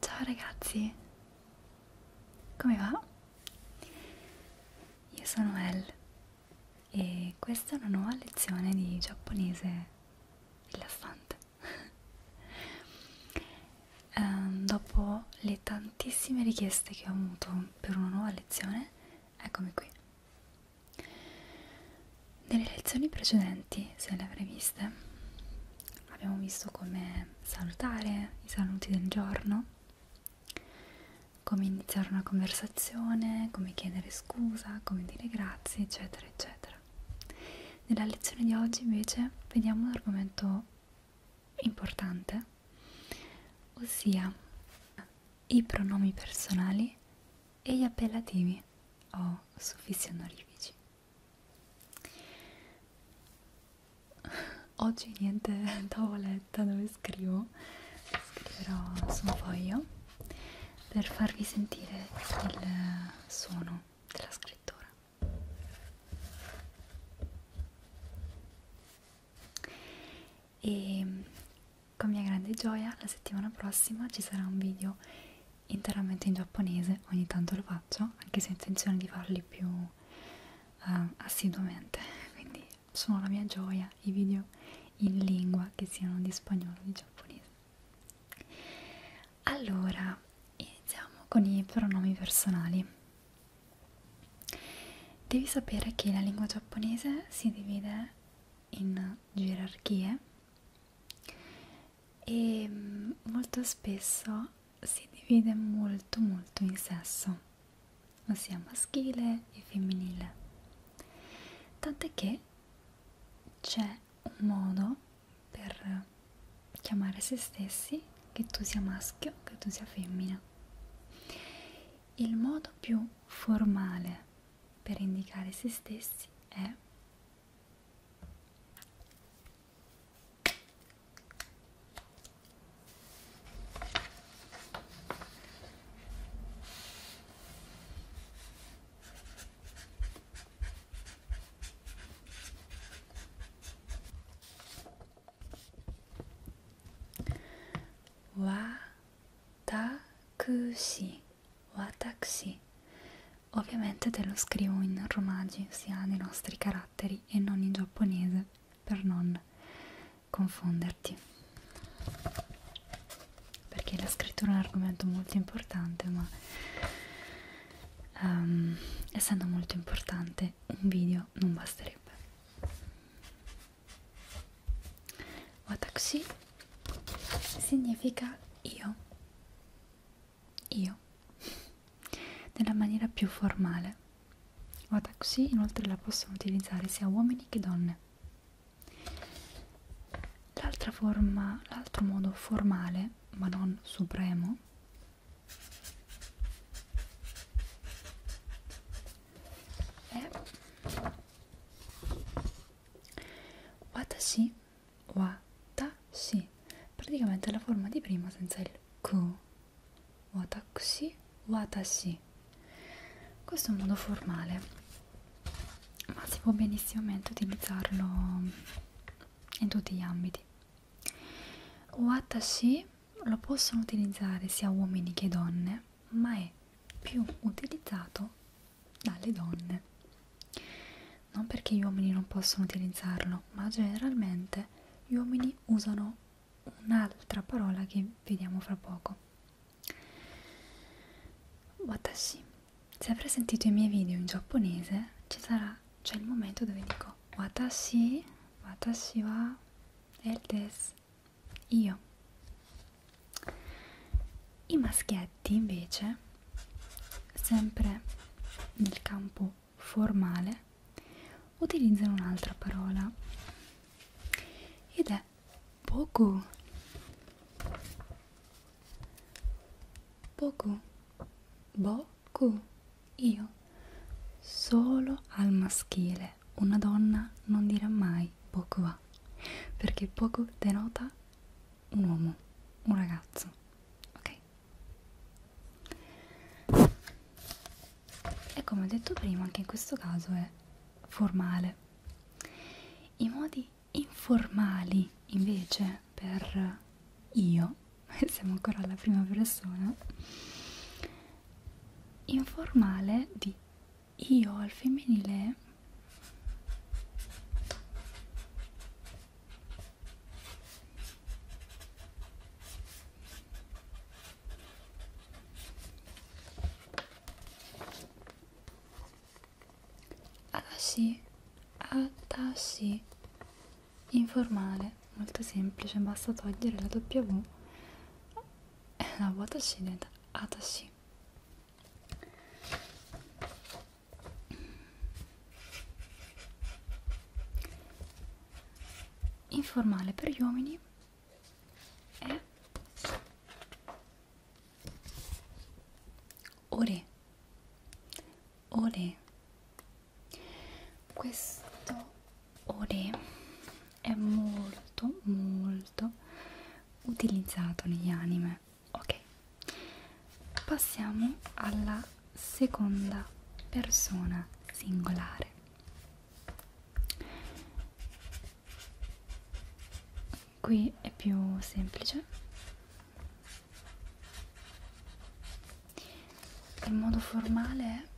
Ciao ragazzi, come va? Io sono El e questa è una nuova lezione di giapponese rilassante ehm, dopo le tantissime richieste che ho avuto per una nuova lezione, eccomi qui. Nelle lezioni precedenti, se le avrei viste, abbiamo visto come salutare i saluti del giorno, come iniziare una conversazione, come chiedere scusa, come dire grazie, eccetera, eccetera. Nella lezione di oggi invece vediamo un argomento importante, ossia i pronomi personali e gli appellativi o suffissi onorifici. Oggi niente tavoletta dove scrivo, scriverò su un foglio per farvi sentire il suono della scrittura e con mia grande gioia la settimana prossima ci sarà un video interamente in giapponese ogni tanto lo faccio anche se ho intenzione di farli più uh, assiduamente quindi sono la mia gioia i video in lingua che siano di spagnolo o di giapponese allora iniziamo con i pronomi personali Devi sapere che la lingua giapponese si divide in gerarchie e mm, molto spesso si divide molto molto in sesso, ossia maschile e femminile. Tant'è che c'è un modo per chiamare se stessi che tu sia maschio, che tu sia femmina. Il modo più formale per indicare se stessi è Watakushi, watakushi. Ovviamente te lo scrivo in romaggi, sia nei nostri caratteri e non in giapponese, per non confonderti. Perché la scrittura è un argomento molto importante, ma um, essendo molto importante un video ma non basterebbe Watakushi significa io io nella maniera più formale Watakushi inoltre la possono utilizzare sia uomini che donne l'altra forma l'altro modo formale ma non supremo è eh. watashi watashi praticamente è la forma di prima senza il ku watakushi watashi questo è un modo formale ma si può benissimamente utilizzarlo in tutti gli ambiti watashi lo possono utilizzare sia uomini che donne, ma è più utilizzato dalle donne. Non perché gli uomini non possono utilizzarlo, ma generalmente gli uomini usano un'altra parola che vediamo fra poco. Watashi. Se avrai sentito i miei video in giapponese, ci sarà, c'è il momento dove dico watashi, watashi wa el desu, io. I maschietti invece, sempre nel campo formale, utilizzano un'altra parola ed è boku. Boku Boku, io, solo al maschile. Una donna non dirà mai Boku wa, perché Boku denota un uomo, un ragazzo. Ok? E come ho detto prima, anche in questo caso è formale. I modi informali invece per io siamo ancora alla prima persona informale di io al femminile Atashi, Atashi, informale, molto semplice, basta togliere la W e la watashi diventa atashi. Informale per gli uomini è ore olè questo olè è molto molto utilizzato negli anime ok passiamo alla seconda persona singolare qui è più semplice in modo formale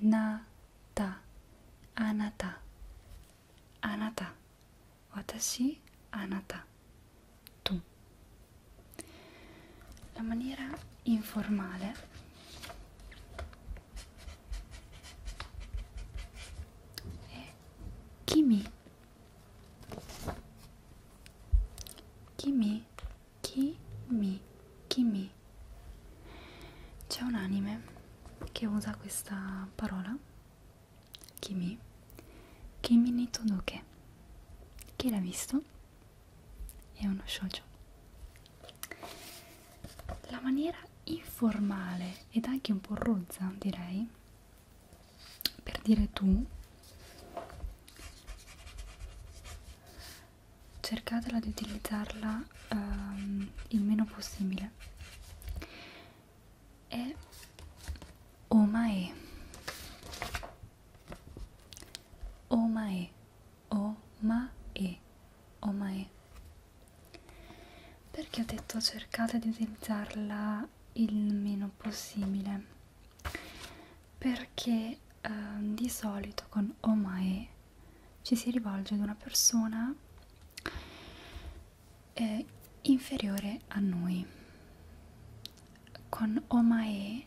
anata anata anata watashi anata tu la maniera informale è kimi Kimi, Kimi, Kimi. C'è un anime che usa questa parola. Kimi. Kimi ni todoke. Chi l'ha visto? È uno shoujo. La maniera informale ed anche un po' rozza, direi, per dire tu cercatela di utilizzarla um, il meno possibile e omae omae omae omae perché ho detto cercate di utilizzarla il meno possibile perché eh, di solito con omae ci si rivolge ad una persona eh, inferiore a noi con omae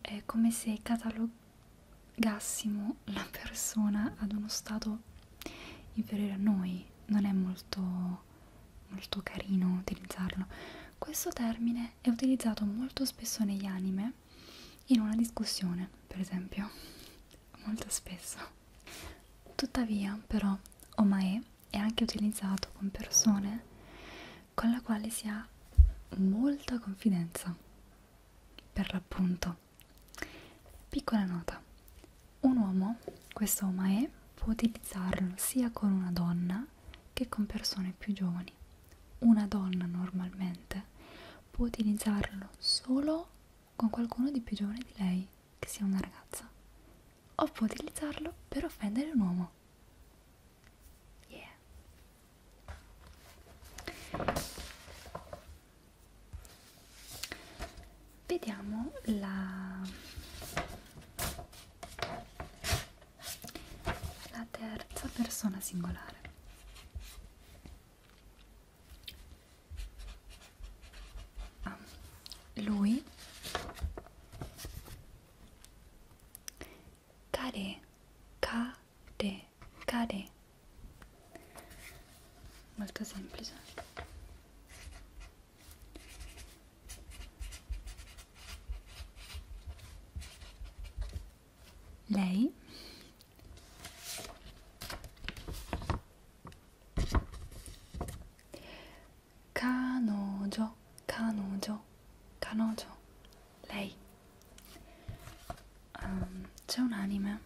è come se catalogassimo la persona ad uno stato inferiore a noi non è molto molto carino utilizzarlo questo termine è utilizzato molto spesso negli anime in una discussione per esempio molto spesso tuttavia però omae è anche utilizzato con persone con la quale si ha molta confidenza per l'appunto Piccola nota, un uomo, questo omae, può utilizzarlo sia con una donna che con persone più giovani. Una donna normalmente può utilizzarlo solo con qualcuno di più giovane di lei, che sia una ragazza, o può utilizzarlo per offendere un uomo. Yeah. Vediamo la, la terza persona singolare. Ah, lui Kare, kare, kare molto semplice lei Canojo, canojo, canojo, lei. Um, C'è un anime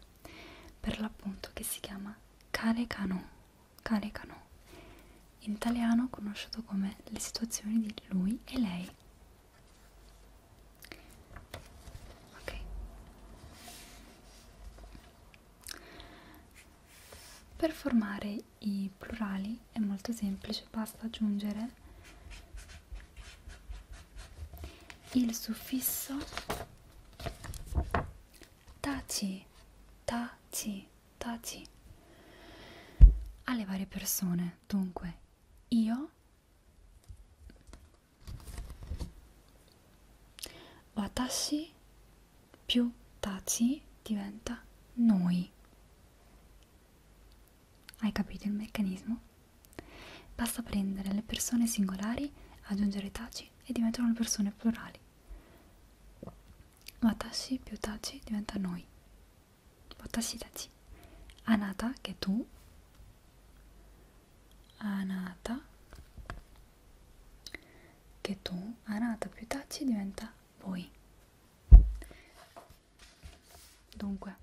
per l'appunto che si chiama Carecano, Carecano in italiano conosciuto come le situazioni di lui e lei ok per formare i plurali è molto semplice basta aggiungere il suffisso taci, taci, taci alle varie persone. Dunque, io watashi più taci diventa noi. Hai capito il meccanismo? Basta prendere le persone singolari, aggiungere taci tachi e diventano le persone plurali. Watashi più tachi diventa noi. Watashi tachi. Anata, che è tu. Anata, che è tu. Anata più tachi diventa voi. Dunque.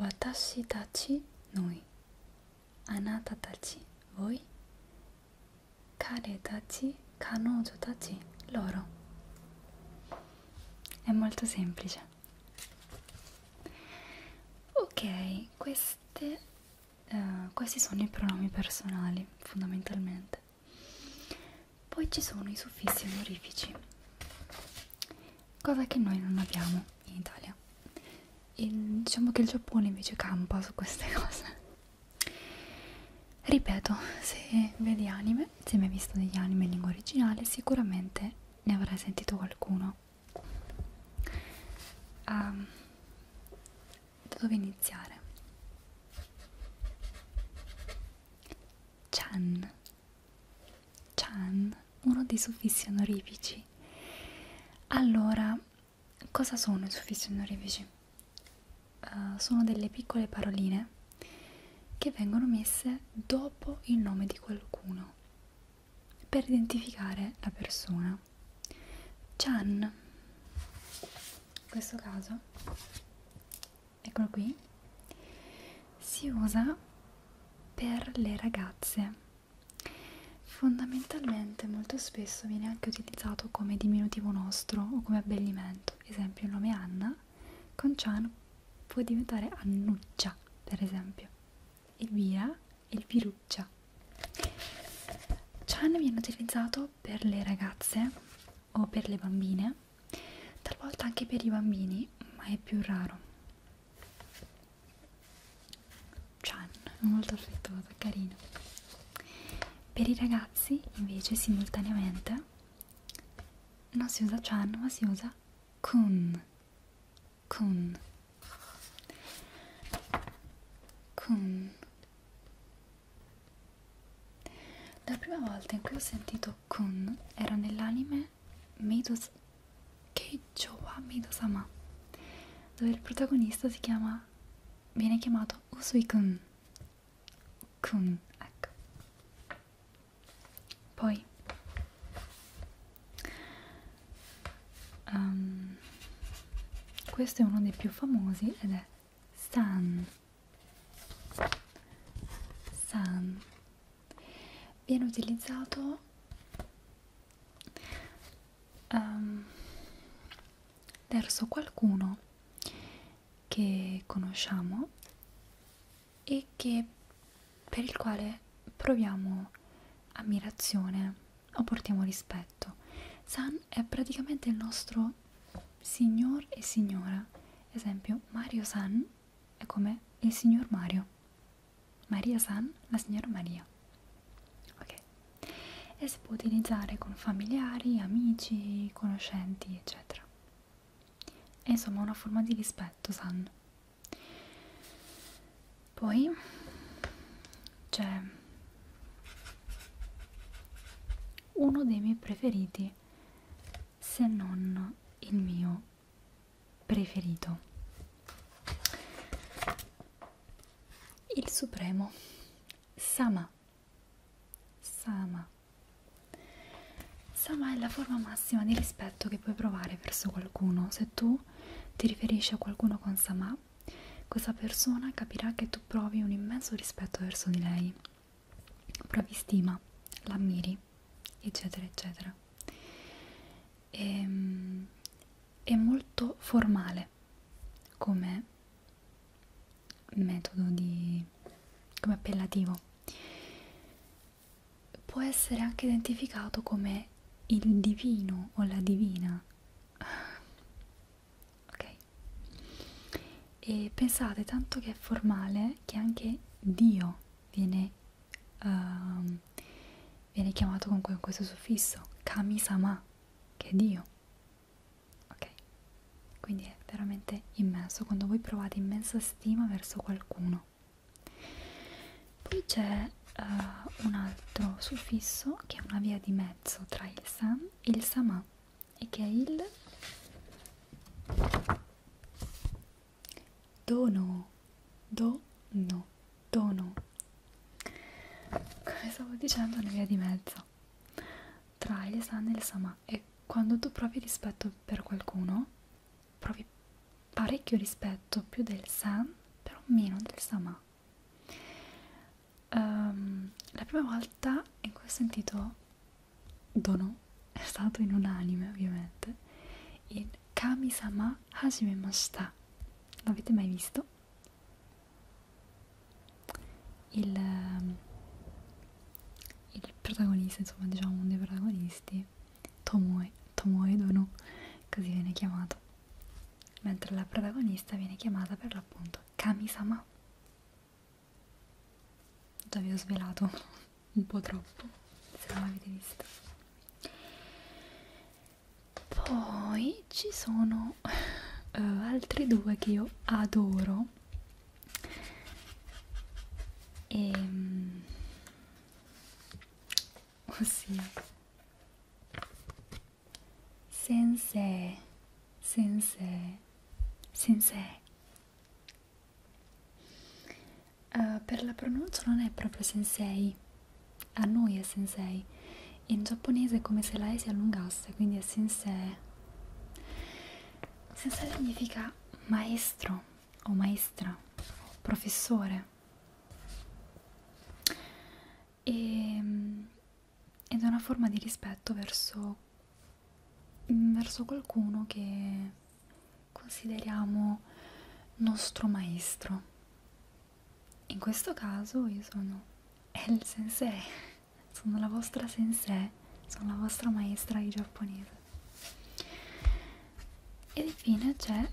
Watashi tachi noi. Anata tachi voi. Kare tachi kanojo tachi loro. È molto semplice. Ok, queste, uh, questi sono i pronomi personali fondamentalmente. Poi ci sono i suffissi onorifici, cosa che noi non abbiamo in Italia. Il, diciamo che il Giappone invece campa su queste cose. Ripeto, se vedi anime, se mi hai visto degli anime in lingua originale, sicuramente ne avrai sentito qualcuno. Um, da dove iniziare? Chan. Chan, uno dei suffissi onorifici. Allora, cosa sono i suffissi onorifici? Uh, sono delle piccole paroline che vengono messe dopo il nome di qualcuno per identificare la persona. Chan in questo caso eccolo qui si usa per le ragazze fondamentalmente molto spesso viene anche utilizzato come diminutivo nostro o come abbellimento ad esempio il nome Anna con Cian può diventare Annuccia per esempio Elvira Elviruccia Chan viene utilizzato per le ragazze o per le bambine, talvolta anche per i bambini, ma è più raro. Chan, molto affettuoso, carino. Per i ragazzi, invece, simultaneamente, non si usa Chan, ma si usa Kun. Kun. Kun. La prima volta in cui ho sentito Kun era nell'anime Meidos... Keijo wa Meidosama dove il protagonista si chiama... viene chiamato Usui Kun Kun, ecco poi um, questo è uno dei più famosi ed è san san viene utilizzato um, verso qualcuno che conosciamo e che, per il quale proviamo ammirazione o portiamo rispetto. San è praticamente il nostro signor e signora. Esempio, Mario San è come il signor Mario. Maria San, la signora Maria. Ok. E si può utilizzare con familiari, amici, conoscenti, eccetera. È insomma una forma di rispetto, San. Poi cioè uno dei miei preferiti se non il mio preferito il supremo sama sama sama è la forma massima di rispetto che puoi provare verso qualcuno se tu ti riferisci a qualcuno con sama questa persona capirà che tu provi un immenso rispetto verso di lei, provi stima, l'ammiri, eccetera, eccetera. E, ehm, è molto formale come metodo di come appellativo può essere anche identificato come il divino o la divina ok e pensate tanto che è formale che anche Dio viene, uh, viene chiamato con questo suffisso, Kamisama, che è Dio. Ok? Quindi è veramente immenso quando voi provate immensa stima verso qualcuno. Poi c'è uh, un altro suffisso che è una via di mezzo tra il san il Sama e che è il dono dono dono come stavo dicendo una via di mezzo tra il san e il sama e quando tu provi rispetto per qualcuno provi parecchio rispetto più del san però meno del sama Um, la prima volta in cui ho sentito Dono è stato in un anime, ovviamente, in Kami-sama Hajimemashita. L'avete mai visto? Il, ehm, il protagonista, insomma, diciamo uno dei protagonisti, Tomoe, Tomoe Dono, così viene chiamato mentre la protagonista viene chiamata per l'appunto Kami-sama già vi ho svelato un po' troppo se non l'avete visto poi ci sono uh, altri due che io adoro e ehm, ossia 先生先生先生 uh, eh, per la pronuncia non è proprio sensei a noi è sensei in giapponese è come se la E si allungasse quindi è sensei sensei significa maestro o maestra o professore e, ehm, ed è una forma di rispetto verso, verso qualcuno che consideriamo nostro maestro. In questo caso io sono El Sensei, sono la vostra sensei, sono la vostra maestra di giapponese. Ed infine c'è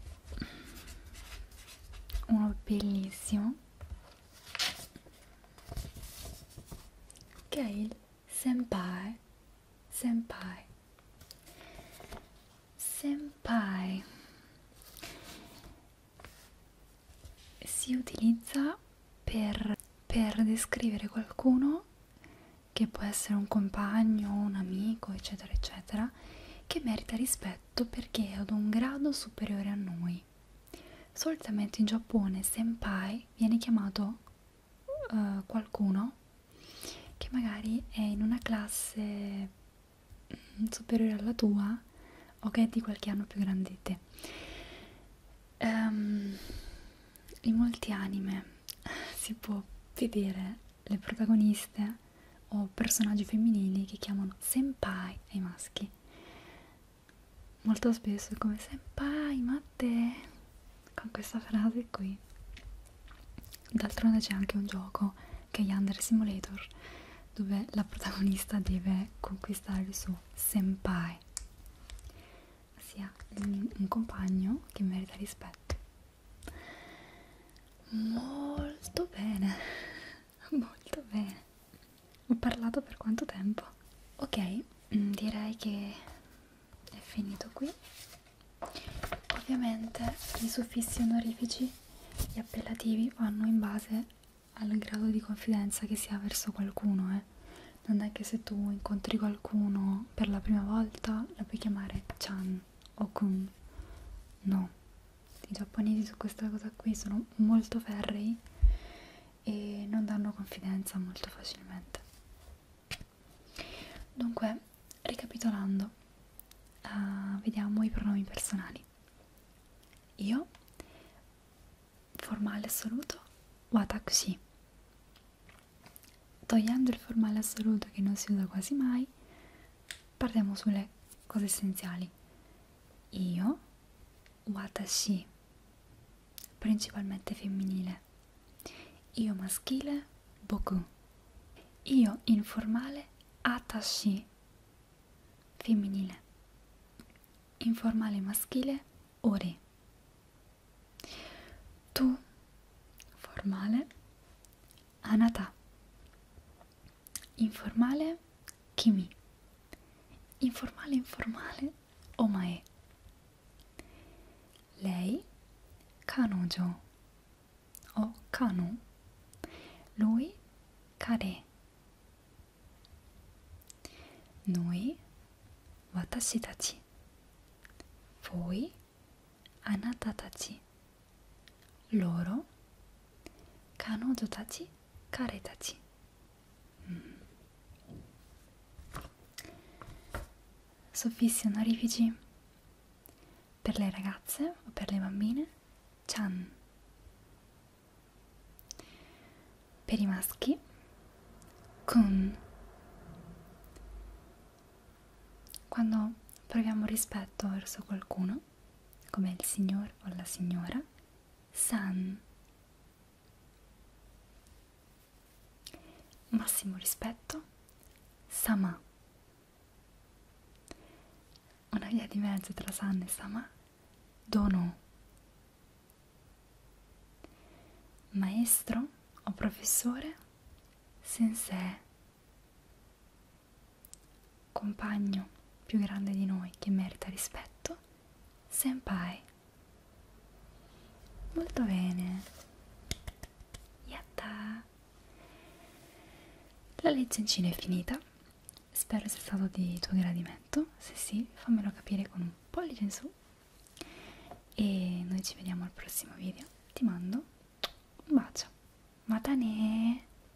uno bellissimo che è il senpai senpai senpai si utilizza per, per descrivere qualcuno che può essere un compagno, un amico, eccetera, eccetera, che merita rispetto perché è ad un grado superiore a noi senpai. Solitamente in Giappone senpai viene chiamato uh, qualcuno che magari è in una classe mm, superiore alla tua o che è di qualche anno più grande di te. Um, in molti anime si può vedere le protagoniste o personaggi femminili che chiamano senpai ai maschi molto spesso è come senpai ma te con questa frase qui d'altronde c'è anche un gioco che è Yandere Simulator dove la protagonista deve conquistare il suo senpai sia un compagno che merita rispetto molto bene Molto bene. Ho parlato per quanto tempo? Ok, mm, direi che è finito qui. Ovviamente i suffissi onorifici, gli appellativi vanno in base al grado di confidenza che si ha verso qualcuno, eh. Non è che se tu incontri qualcuno per la prima volta la puoi chiamare Chan o Kun. No, i giapponesi su questa cosa qui sono molto ferrei e non danno confidenza molto facilmente dunque ricapitolando uh, vediamo i pronomi personali io formale assoluto watakushi togliendo il formale assoluto che non si usa quasi mai parliamo sulle cose essenziali. Io, watashi, principalmente femminile. Io maschile, boku. Io informale, atashi, femminile. Informale maschile, ori. Tu, formale, anata. informale kimi. Informale informale omae. Lei kanojo o kanu. Lui kare. Noi watashi tachi. Voi anata tachi. loro kanojo tachi kare tachi mm. Soffissi onorifici per le ragazze o per le bambine chan per i maschi kun quando proviamo rispetto verso qualcuno italiano, come il signor o la signora, san. Massimo rispetto, sama. Una via di mezzo tra san e sama, dono. Maestro o professore, sensei compagno più grande di noi che merita rispetto, senpai. Molto bene. Yatta. La legge in Cina è finita. Spero sia stato di tuo gradimento. Se sì, fammelo capire con un pollice in su. E noi ci vediamo al prossimo video. Ti mando un bacio. Matane!